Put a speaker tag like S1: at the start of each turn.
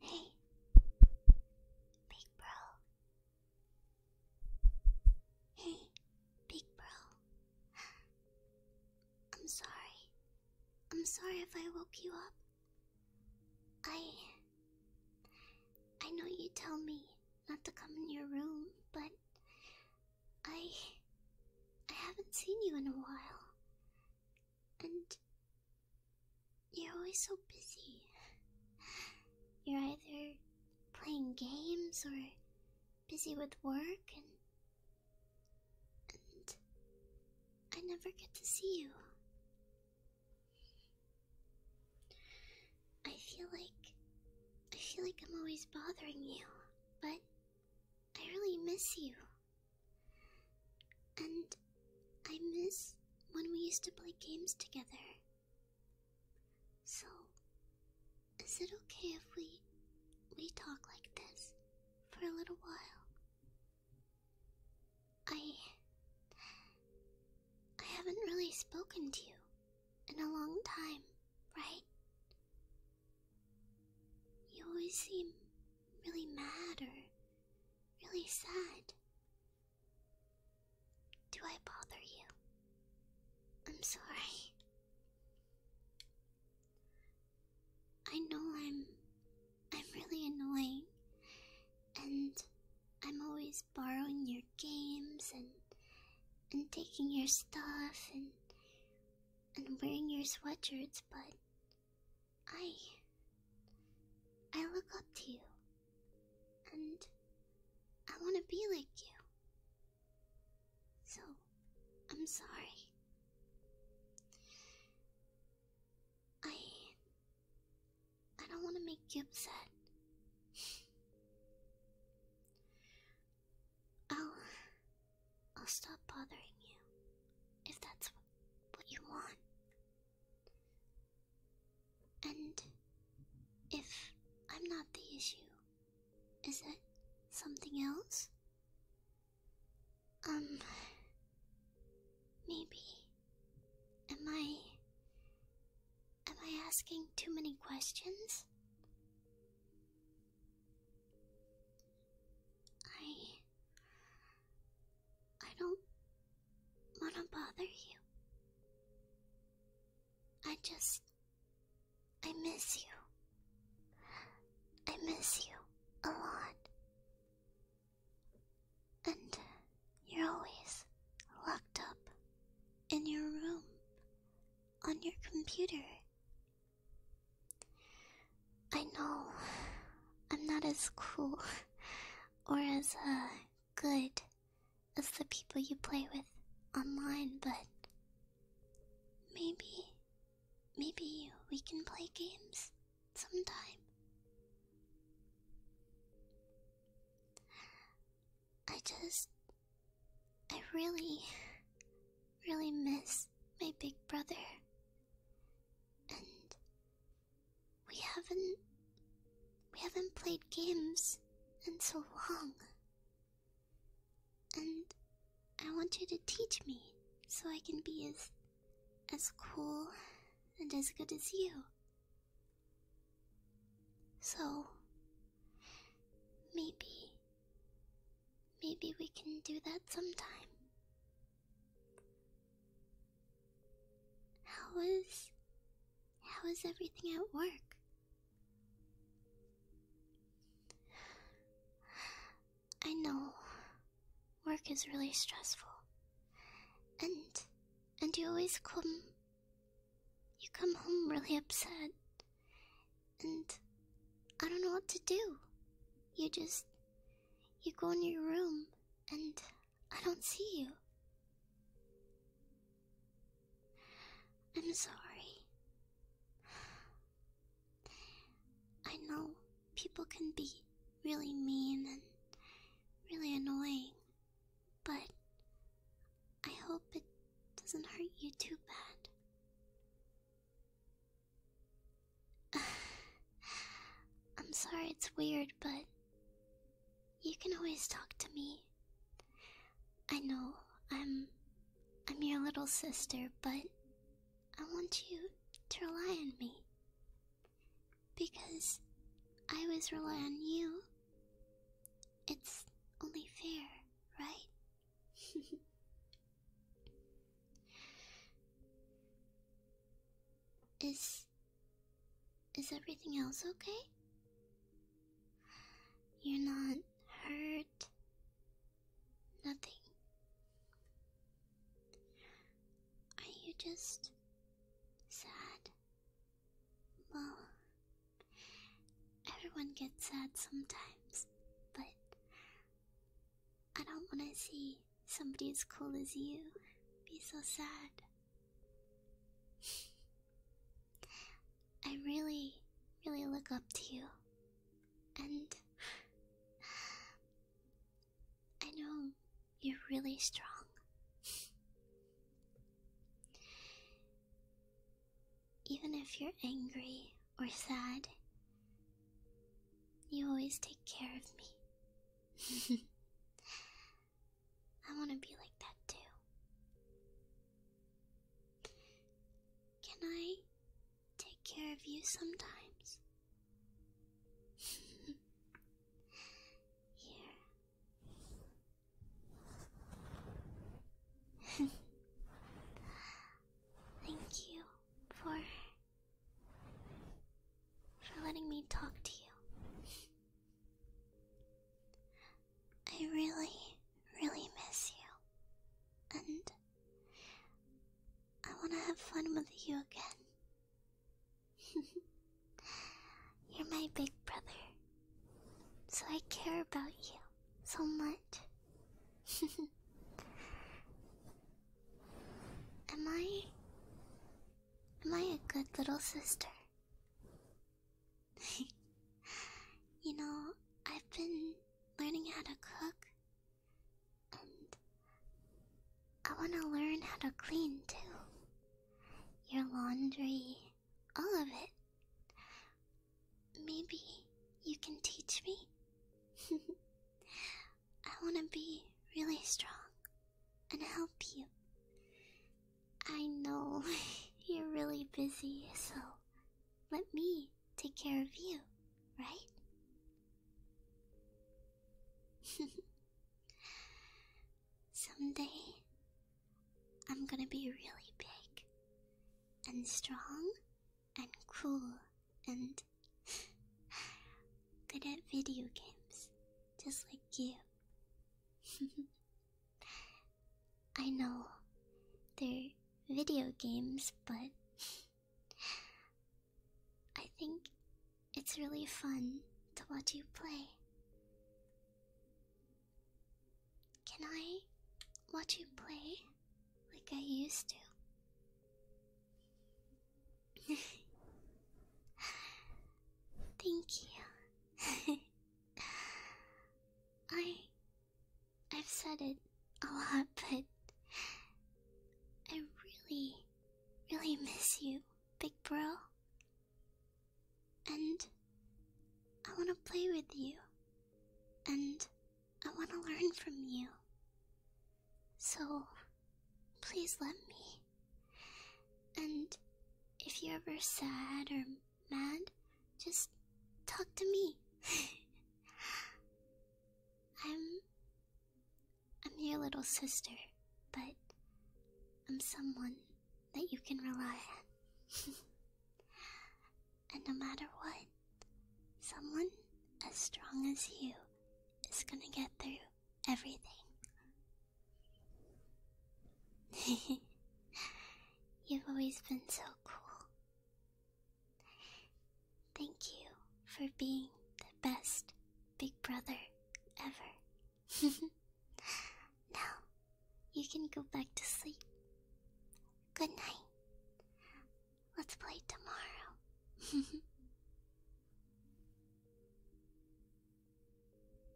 S1: Hey. Hey. Big bro. Hey, big bro. I'm sorry. I'm sorry if I woke you up. I I know you tell me not to come in your room, but I. I haven't seen you in a while. And. You're always so busy. You're either playing games or busy with work, and. and. I never get to see you. I feel like I feel like I'm always bothering you, but I really miss you. And I miss when we used to play games together. So, is it okay if we we talk like this for a little while? I I haven't really spoken to you in a long time, right? You always seem really mad or really sad. Do I bother you? I'm sorry. I know I'm I'm really annoying and I'm always borrowing your games and and taking your stuff and and wearing your sweatshirts, but I I look up to you and I want to be like you. So, I'm sorry. I I don't want to make you upset. I'll. I'll stop bothering you if that's what you want. And if I'm not the issue, is it something else? Um, maybe Am I. Am I asking too many questions? I. I don't want to bother you. I just. I miss you. I miss you a lot. And you're always locked up in your room on your computer. I know I'm not as cool or as uh, good as the people you play with online, but maybe, maybe we can play games sometime. I just. I really, really miss my big brother. And we haven't. We haven't played games in so long. And I want you to teach me so I can be as as cool and as good as you. So, maybe, maybe we can do that sometime. how was everything at work? I know. Work is really stressful. And and you always come you come home really upset. And I don't know what to do. You just you go in your room and I don't see you. I'm sorry. I know people can be really mean and really annoying, but I hope it doesn't hurt you too bad. I'm sorry it's weird, but you can always talk to me. I know I'm I'm your little sister, but I want you to rely on me. Because I always rely on you. It's only fair, right? is. is everything else okay? You're not hurt Nothing. Are you just sad? Well, everyone gets sad sometimes, but I don't want to see somebody as cool as you be so sad. I really, really look up to you and I know you're really strong. Even if you're angry or sad, you always take care of me. I want to be like that too. Can I take care of you sometimes. Here. Thank you for for letting me talk to you. I really, really miss you. And I want to have fun with you again. You're my big brother, so I care about you so much. am I. Am I a good little sister? you know, I've been learning how to cook. And I want to learn how to clean too. Your laundry, all of it. Maybe you can teach me? I want to be really strong and help you. I know you're really busy, so let me take care of you, right? Someday, I'm gonna be really big and strong and cool and good at video games, just like you. I know they're video games, but I think it's really fun to watch you play. Can I watch you play like I used to? Thank you. I I've said it a lot, but I really, really miss you, big bro. And I want to play with you. And I want to learn from you. So please let me. And if you're ever sad or man, just talk to me. I'm I'm your little sister, but I'm someone that you can rely on. and no matter what, someone as strong as you is gonna get through everything. You've always been so cool. Thank you for being the best big brother ever. now, you can go back to sleep. Good night. Let's play tomorrow.